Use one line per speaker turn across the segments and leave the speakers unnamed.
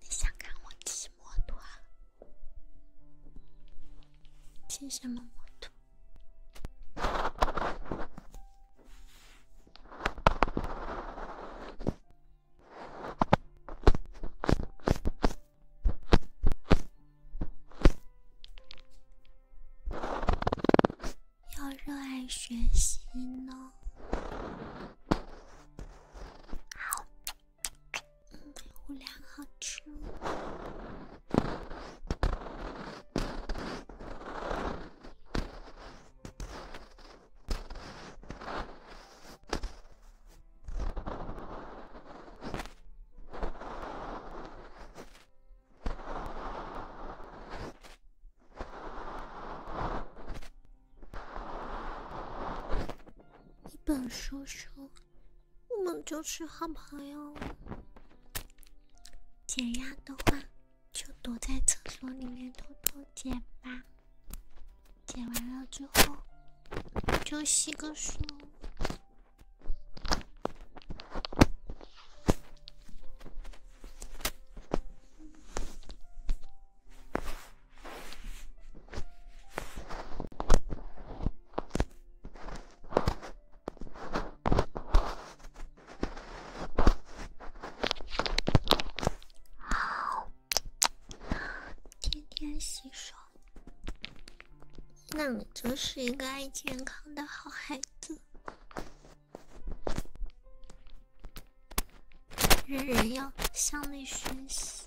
你想看我骑摩托？骑什么摩托？
要热爱学
习呢。好，嗯，五粮好吃一本书书，我们就是好朋友。解压的话，就躲在厕所里面偷偷解吧。解完了之后，就洗个手。好，天天洗手，那你真是一个爱健康的好孩子。人人要向内学习。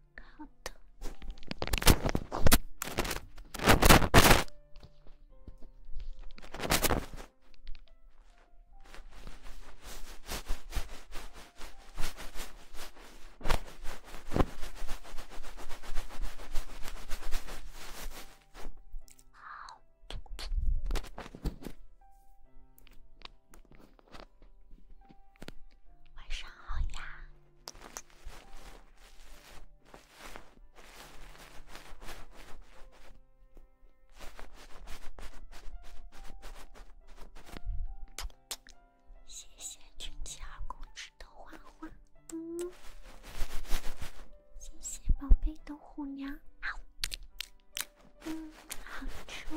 好的。好。晚上好呀。谢谢军奇二公子的花花，嗯，谢谢宝贝的虎娘，嗯，好吃。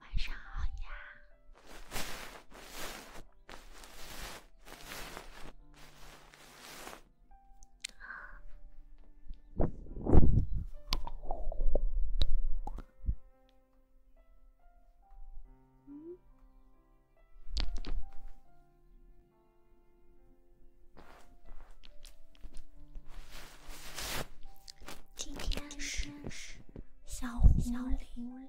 晚上好呀。嗯。今天是小狐狸。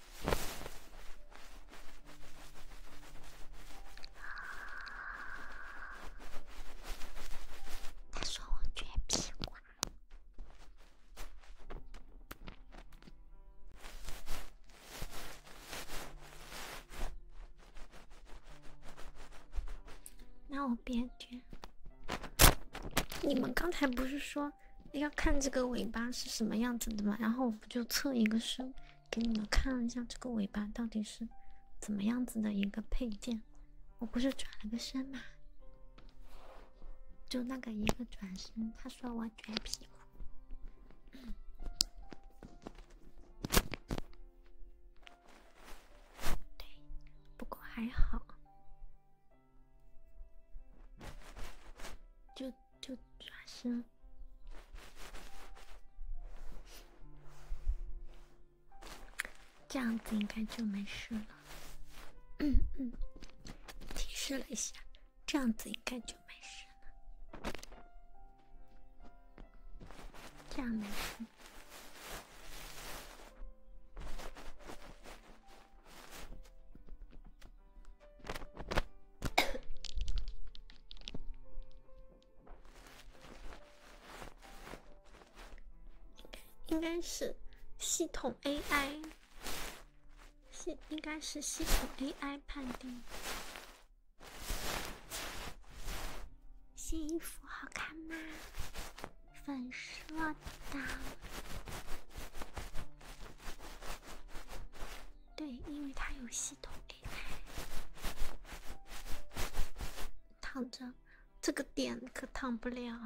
他说我撅屁股，那我别撅。你们刚才不是说？要看这个尾巴是什么样子的嘛，然后我不就测一个身，给你们看一下这个尾巴到底是怎么样子的一个配件。我不是转了个身嘛，就那个一个转身，他说我卷屁对，不过还好，就。就转身，这样子应该就没事了。嗯嗯，提示了一下，这样子应该就没事了，
这样没事。
应该是系统 AI，系应该是系统 AI 判定。新衣服好看吗？粉色的。对，因为它有系统。躺着，这个点可躺不了，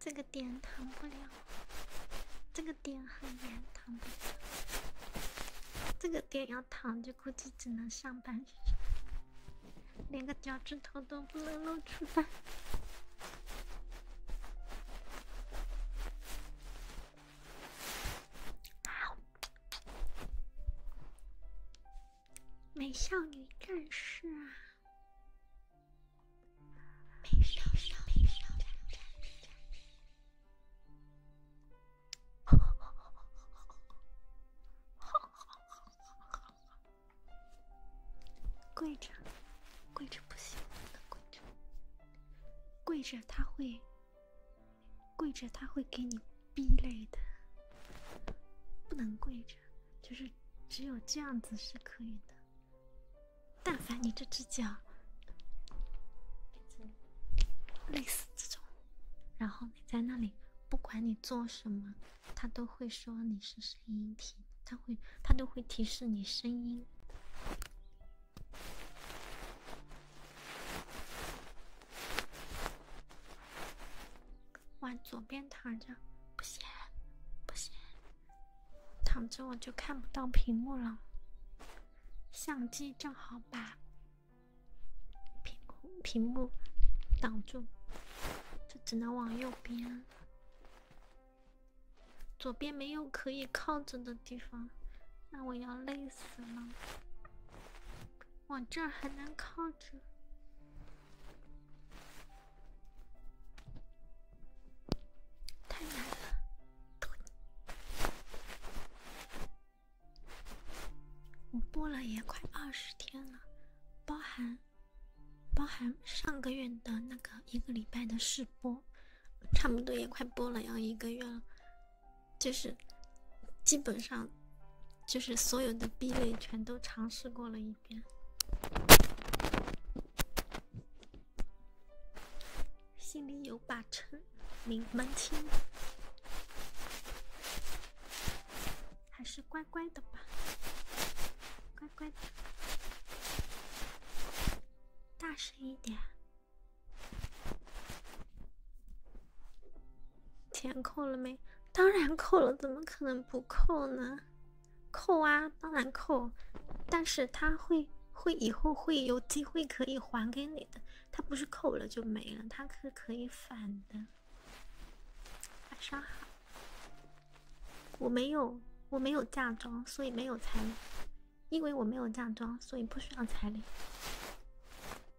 这个点躺不了，这个点很严，躺不了。这个点要躺着，估计只能上半身，连个脚趾头都不能露出来。美少女战士啊！美少女，美少女战士，跪着，跪着不行，不能跪着。跪着他会，跪着他会给你逼累的，不能跪着，就是只有这样子是可以的。但凡你这只脚类似这种，然后你在那里不管你做什么，他都会说你是声音体，他会他都会提示你声音。往左边躺着，不行，不行，躺着我就看不到屏幕了。相机正好把屏屏幕挡住，就只能往右边。左边没有可以靠着的地方，那我要累死了。往这儿还能靠着，太难了。我播了也快二十天了，包含包含上个月的那个一个礼拜的试播。差不多也快播了，要一个月了，就是基本上就是所有的 B 类全都尝试过了一遍。心里有把秤，明们听。还是乖乖的吧，乖乖的，大声一点。钱扣了没？当然扣了，怎么可能不扣呢？扣啊，当然扣。但是他会会以后会有机会可以还给你的，他不是扣了就没了，他是可以返的。晚上好，我没有我没有嫁妆，所以没有参。因为我没有嫁妆，所以不需要彩礼。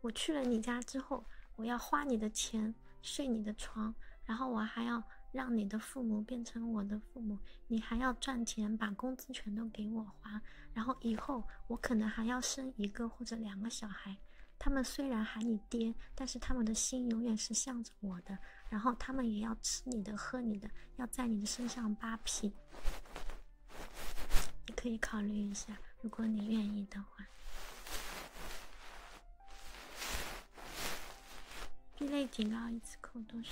我去了你家之后，我要花你的钱，睡你的床，然后我还要让你的父母变成我的父母。你还要赚钱，把工资全都给我花。然后以后我可能还要生一个或者两个小孩，他们虽然喊你爹，但是他们的心永远是向着我的。然后他们也要吃你的，喝你的，要在你的身上扒皮。你可以考虑一下，如果你愿意的话。B 类警告一次扣多少？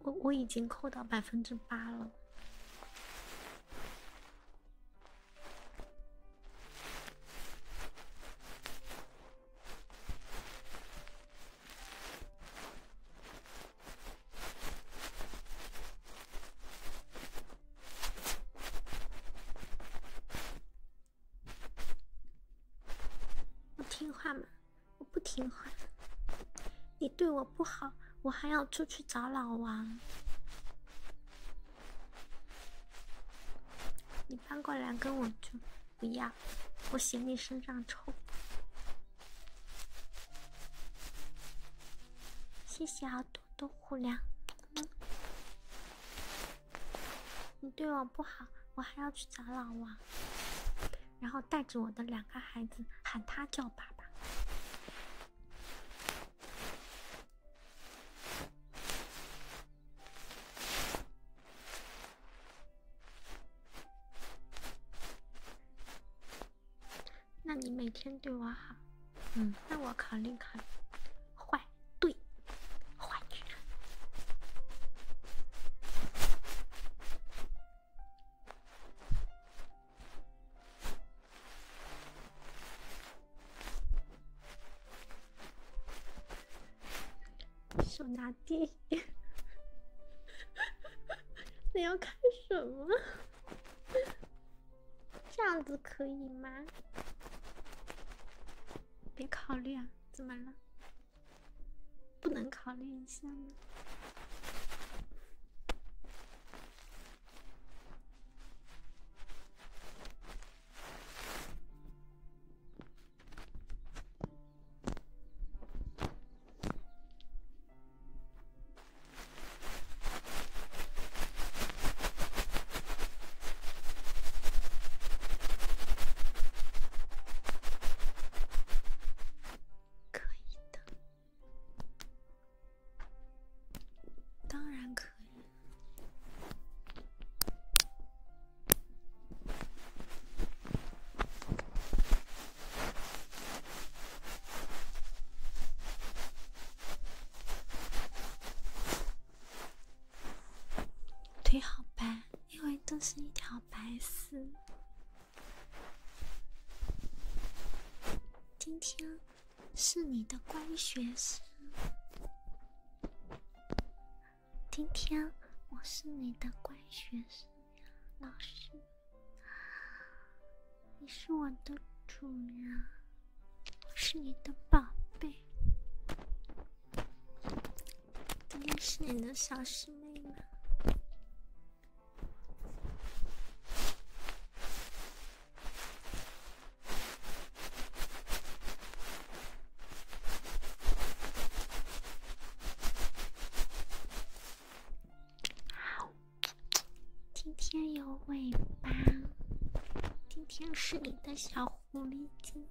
我我已经扣到百分之八了。我听话吗？我不听话。你对我不好，我还要出去找老王。你搬过来跟我住。不要，我嫌你身上臭。谢谢啊，多多互亮。你对我不好，我还要去找老王，然后带着我的两个孩子，喊他叫爸爸。那你每天对我好，嗯，那我考虑考虑。坏对，坏女人，手拿地。你要看什么？这样子可以吗？别考虑啊！怎么了？不能考虑一下吗？可以的，当然可以。腿好白，因为都是一条白丝。今天是你的乖学生，今天我是你的乖学生。老师，你是我的主人，我是你的宝贝，应也是你的小师妹吗？今天有尾巴，今天是你的小狐狸精。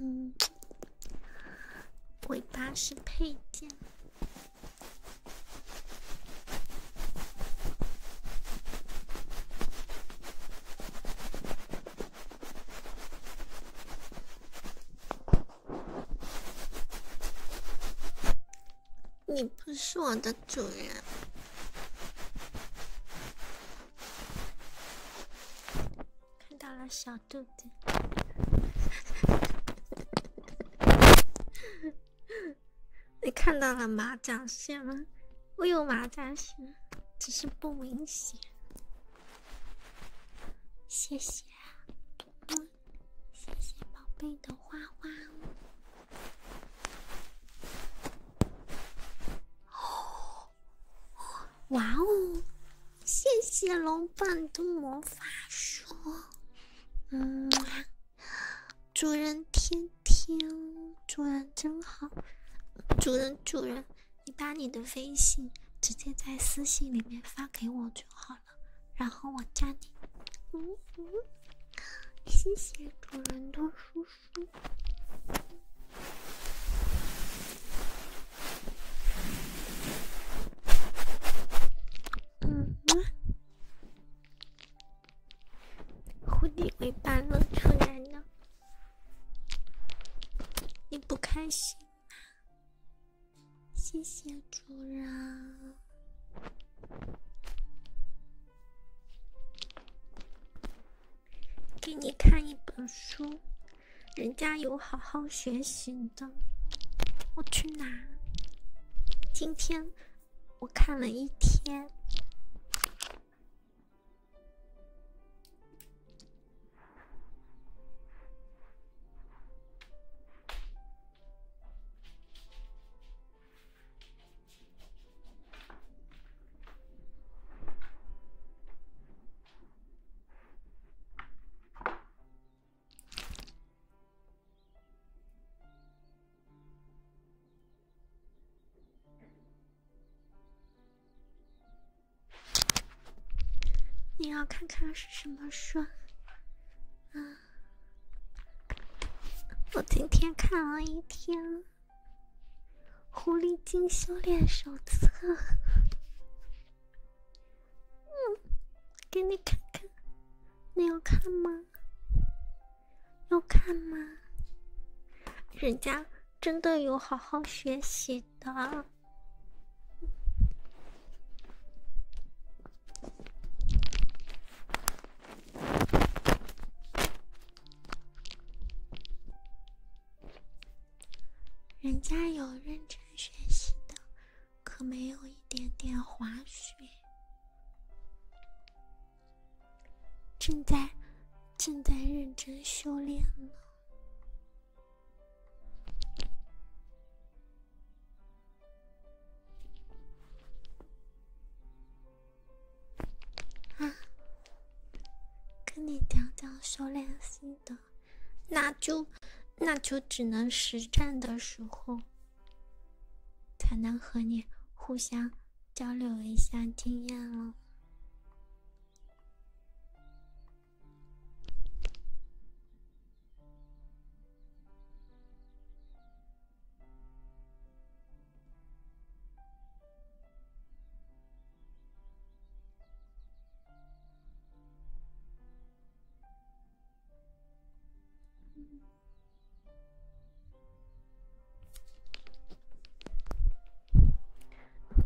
嗯，尾巴是配件。你不是我的主人。看到了小肚子。你看到了麻将线吗？我有麻将线，只是不明显。谢谢。谢谢宝贝的花花哦！哇哦！谢谢老板的魔法书，嗯，主人天天，主人真好，主人主人，你把你的微信直接在私信里面发给我就好。然后我加你，嗯嗯，谢谢主人的叔叔。嗯，蝴蝶尾巴露出来了，你不开心？谢谢
主人，
给你看一本书，人家有好好学习的，我去拿。今天我看了一天。你要看看是什么书啊？我今天看了一天《狐狸精修炼手册》。嗯，给你看看，你要看吗？要看吗？人家真的有好好学习的。人家有认真学习的，可没有一点点滑雪，正在正在认真修炼呢。啊，跟你讲讲修炼心得，那就那就只能实战的时候，才能和你互相交流一下经验了。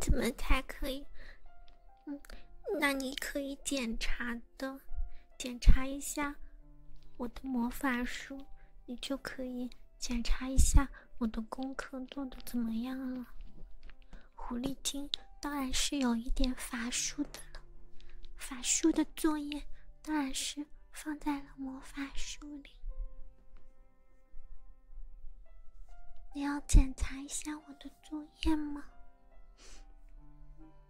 怎么才可以？嗯，那你可以检查的。检查一下我的魔法书，你就可以检查一下我的功课做的怎么样了。狐狸精当然是有一点法术的了，法术的作业当然是放在了魔法书里。你要检查一下我的作业吗？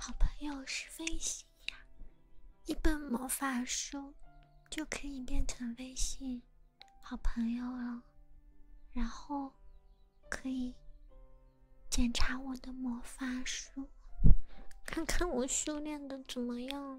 好朋友是微信呀，一本魔法书就可以变成微信好朋友了，然后可以检查我的魔法书。看看我修炼的怎么样？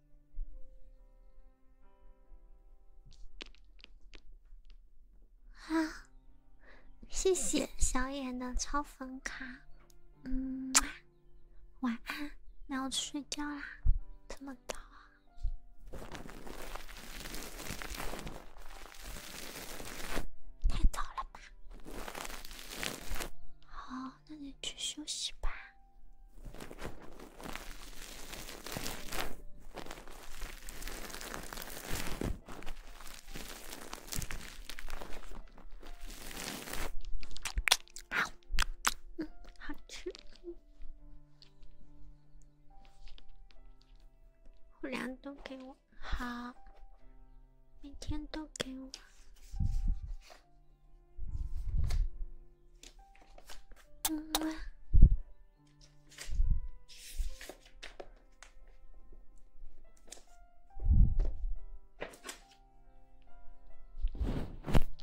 啊！谢谢小眼的超粉卡。嗯，晚安，那我去睡觉啦。这么早啊？太早了吧？好，那你去休息吧。好，嗯，好吃。都给我，好，每天都给我。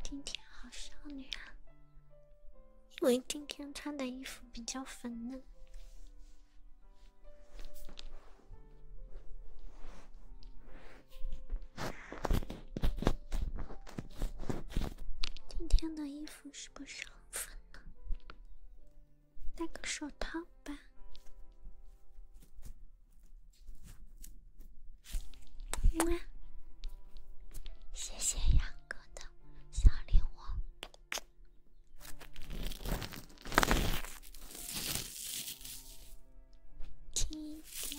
今天好少女啊，因为今天穿的衣服比较粉嫩。今天的衣服是不是很粉？呢？戴个手套吧。
么谢谢杨哥的小礼物。
亲亲。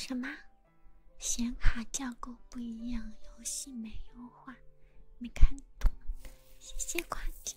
什么？显卡架构不一样，游戏没优化，没看懂。谢谢夸奖。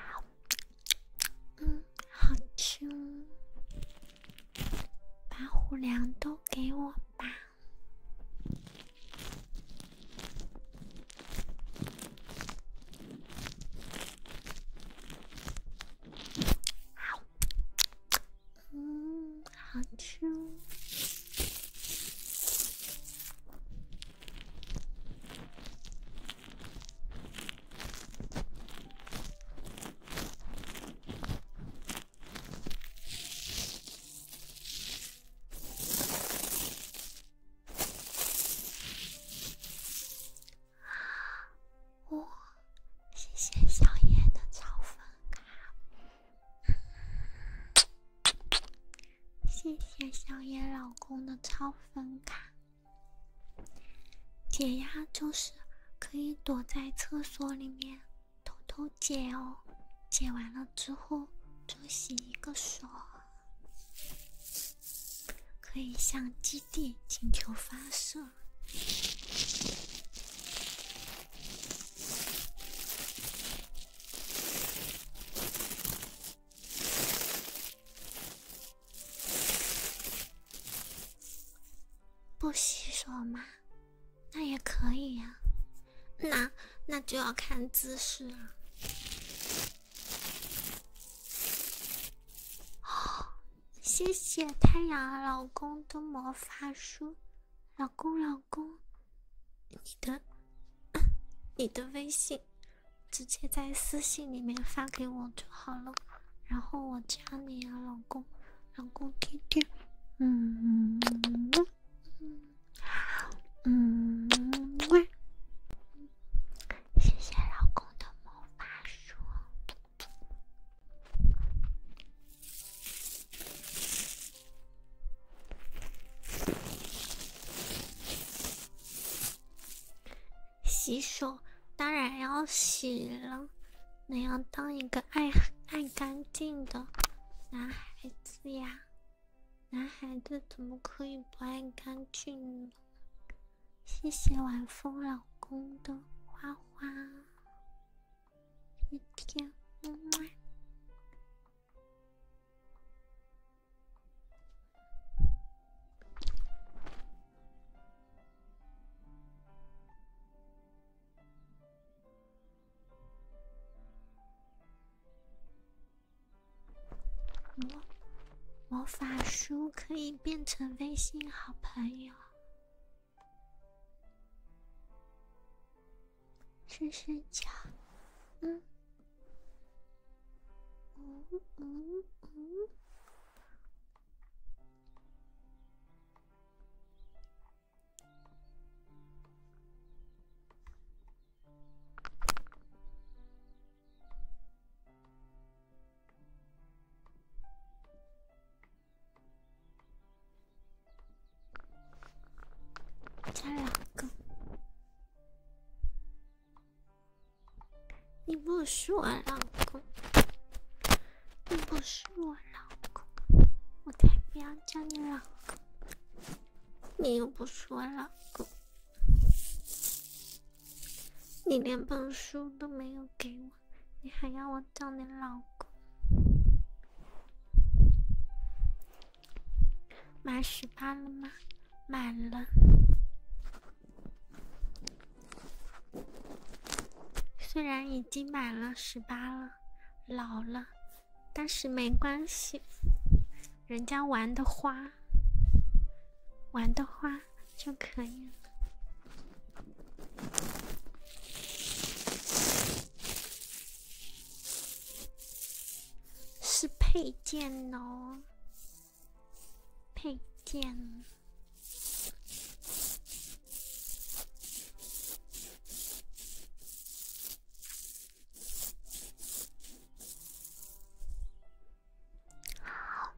好，嗯，好吃。把虎粮都给我吧。嗯，好吃。哇，谢谢小野的超粉卡，谢谢小野老公的超粉卡。解压就是可以躲在厕所里面偷偷解哦，解完了之后就洗一个手，可以向基地请求发射。不洗手吗？那也可以呀。那那就要看姿势了。好。谢谢太阳老公的魔法书，老公老公，你的 你的微信直接在私信里面发给我就好了，然后我加你啊，老公，老公天
天，嗯嗯嗯，谢谢老公的魔法书。
洗手当然要洗了，你要当一个爱爱干净的男孩子呀！男孩子怎么可以不爱干净呢？谢谢晚风老公的花花。魔魔法书可以变成微信好朋友。
试试讲，嗯，嗯嗯嗯。两个。
你不是我老公，你不是我老公，我才不要叫你老公。你又不是我老公，你连本书都没有给我。你还要我叫你老公？满十八了吗？满了。虽然已经满了十八了，老了，但是没关系，人家玩的花，玩的花就可以了。是配件哦，配件。好，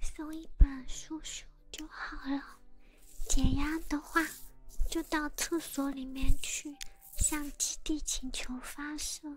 搜一本书书。就好了，解压的话，就到厕所里面去，向基地请求发射。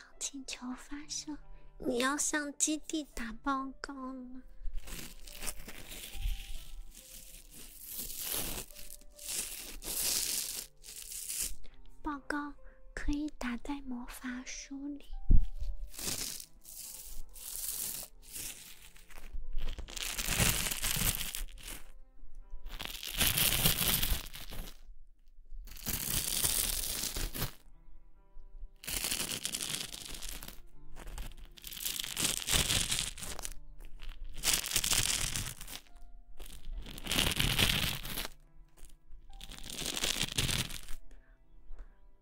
请求发射！你要向基地打报告吗？报告可以打在魔法书里。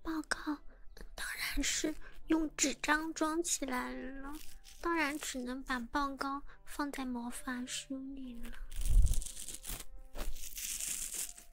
报告当然是用纸张装起来了，当然只能把报告放在魔法书里了。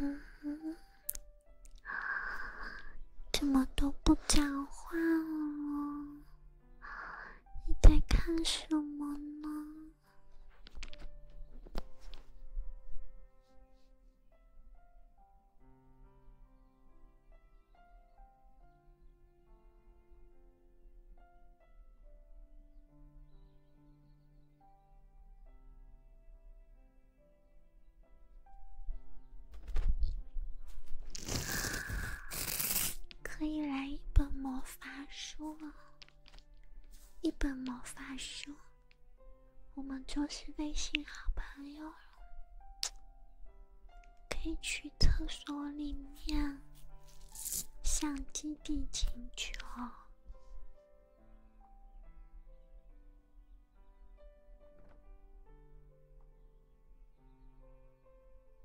嗯，怎么都不讲话了？你在
看什么呢？
可以来一本魔法书了。一本魔法书，我们就是微信好朋友了，可以去厕所里面向基地请求。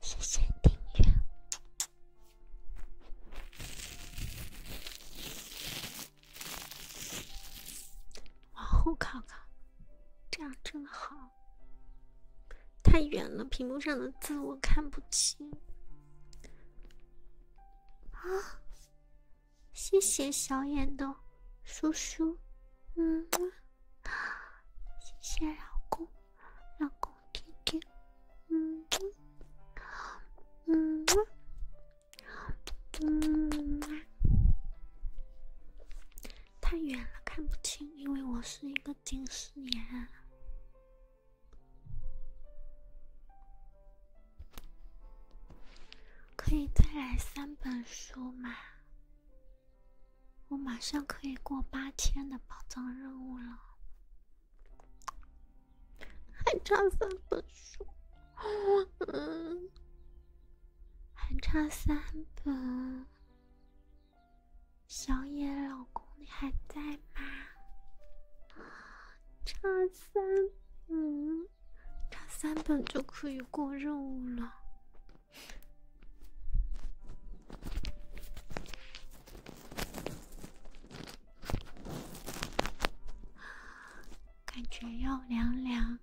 谢谢订阅。往后靠靠，这样真好。太远了，屏幕上的字我看不清。啊，谢谢小眼的叔叔，嗯，谢谢老公，老公天天，嗯，
嗯，嗯。
太远了，看不清，因为我是一个近视眼。可以再来三本书吗？我马上可以过八千的宝藏任务了，还差三本书，嗯，还差三本。小野老公，你还在吗？差 三本，差三本就可以过任务了，感觉要凉凉。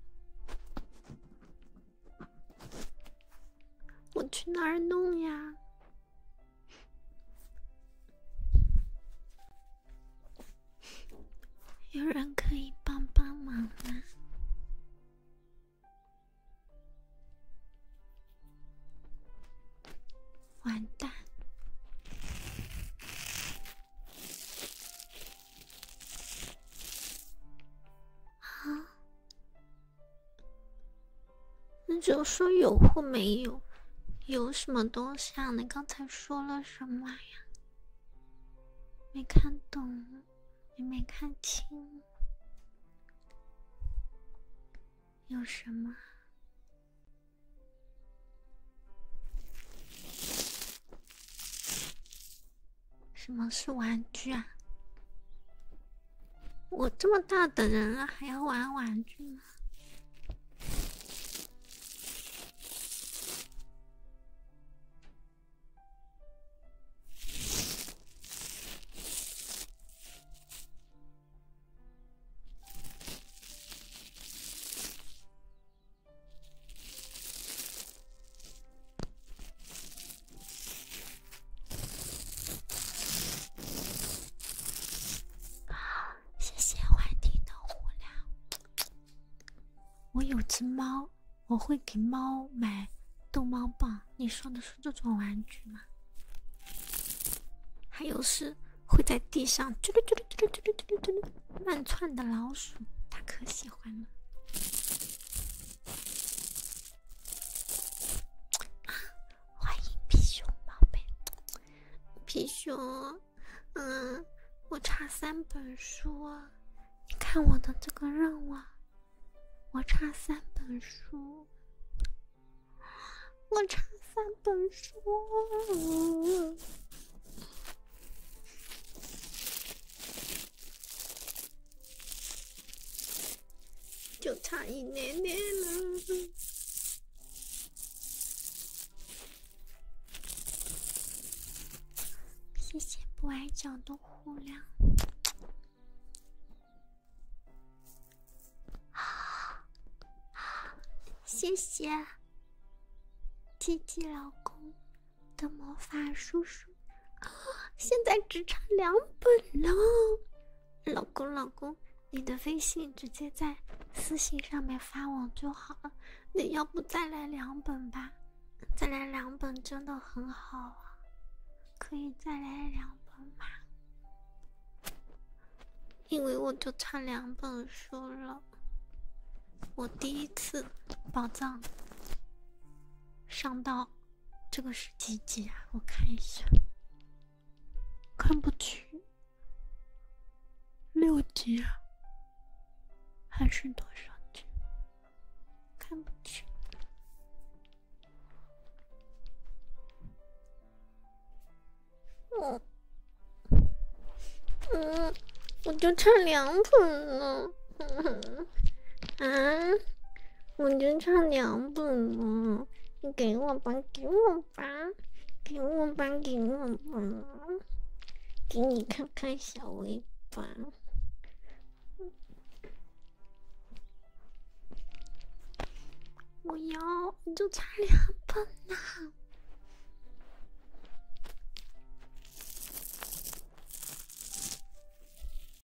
我去哪儿弄呀？有人可以帮帮忙吗？完蛋！好。那就说有或没有，有什么东西啊？你刚才说了什么呀？没看懂，你没看清，有什么？什么是玩具啊？我这么大的人了，还要玩玩具吗？啊，谢谢欢听的胡亮。我有只猫，我会给猫买逗猫棒。你说的是这种玩具吗？还有是会在地上啾溜啾溜啾溜啾溜啾溜啾溜乱窜的老鼠，它可喜欢了。欢迎皮熊宝贝，皮熊，嗯，我差三本书，你看我的这个任务，我差三本书，我差三本书。就差一点点了！谢谢不爱讲的互亮，谢谢 t T 老公的魔法叔叔。啊，现在只差两本了，老公老公，你的微信直接在私信上面发我就好了。你要不再来两本吧？再来两本真的很好啊，可以再来两本吗？因为我就差两本书了，我第一次宝藏上到。这个是几级啊？我看一下，看不清。六级啊？还是多少级？
看不清。我，嗯，
我就差两本了。啊！我就差两本了，你给我吧，给我吧，给我吧，给我吧，给你看看小尾巴。我要，你就差两本了。